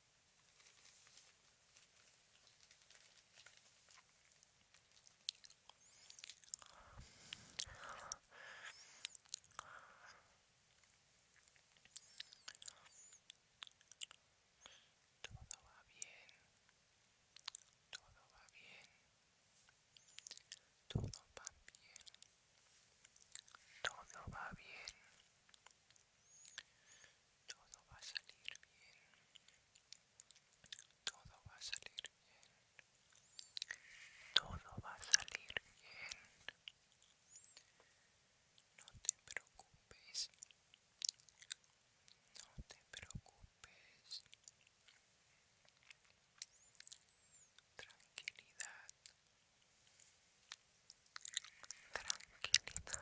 Todo va bien. Todo va bien. Todo va bien. Todo va bien. Todo va a salir bien. Todo va a salir bien. Todo va a salir bien. No te preocupes. No te preocupes. Tranquilidad. Tranquilidad.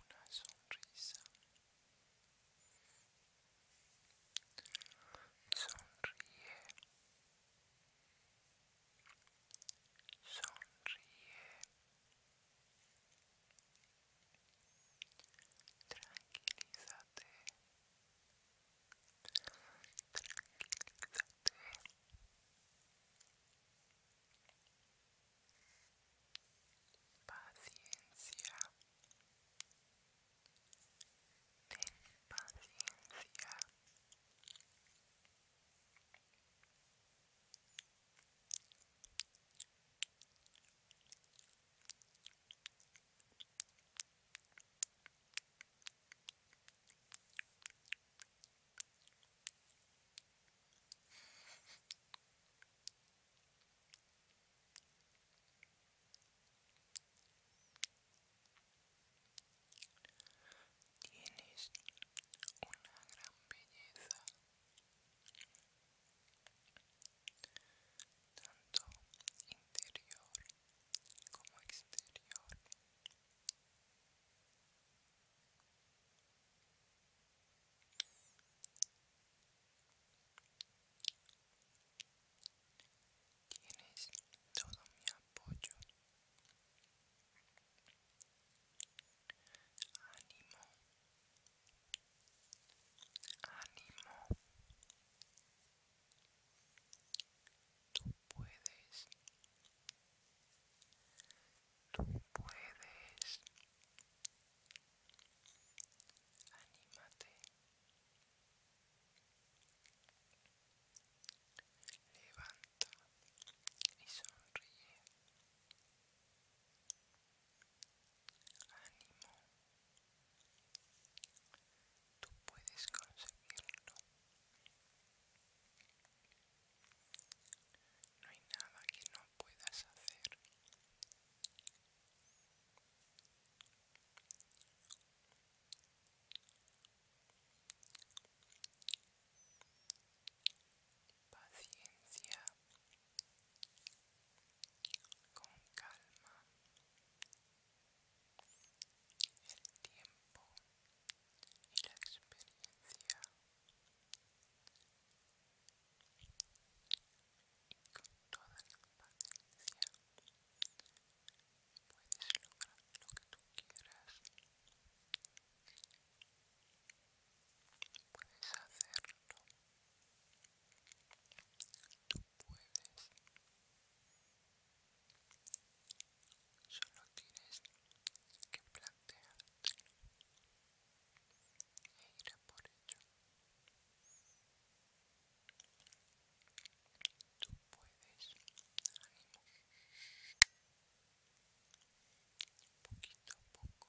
una sonrisa sonríe sonríe tranquilízate tranquilízate Paciencia. Ten paciencia. Tienes una gran belleza, tanto interior como exterior. Tienes todo mi apoyo. Ánimo. Ánimo tú puedes, tú puedes, anímate, levanta y sonríe, ánimo. Tú puedes conseguirlo. No hay nada que no puedas hacer. Paciencia, con calma, el tiempo y la experiencia y con toda la paciencia puedes lograr lo que tú quieras puedes hacerlo tú puedes Solo tienes que plantearte e ir por ello. Tú puedes, ánimo. Poquito a poco.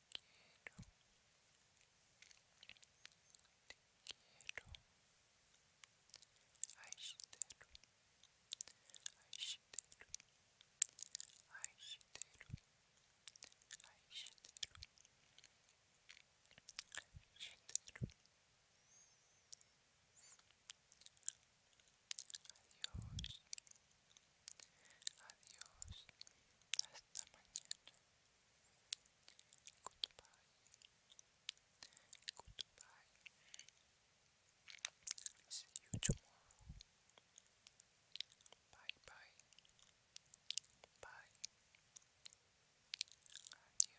quero, te quero, asteiro, asteiro, asteiro, asteiro, asteiro. Adiós, Adiós, hasta mañana. Goodbye. Goodbye. See you tomorrow. Bye bye. Bye. Adiós. Hasta luego.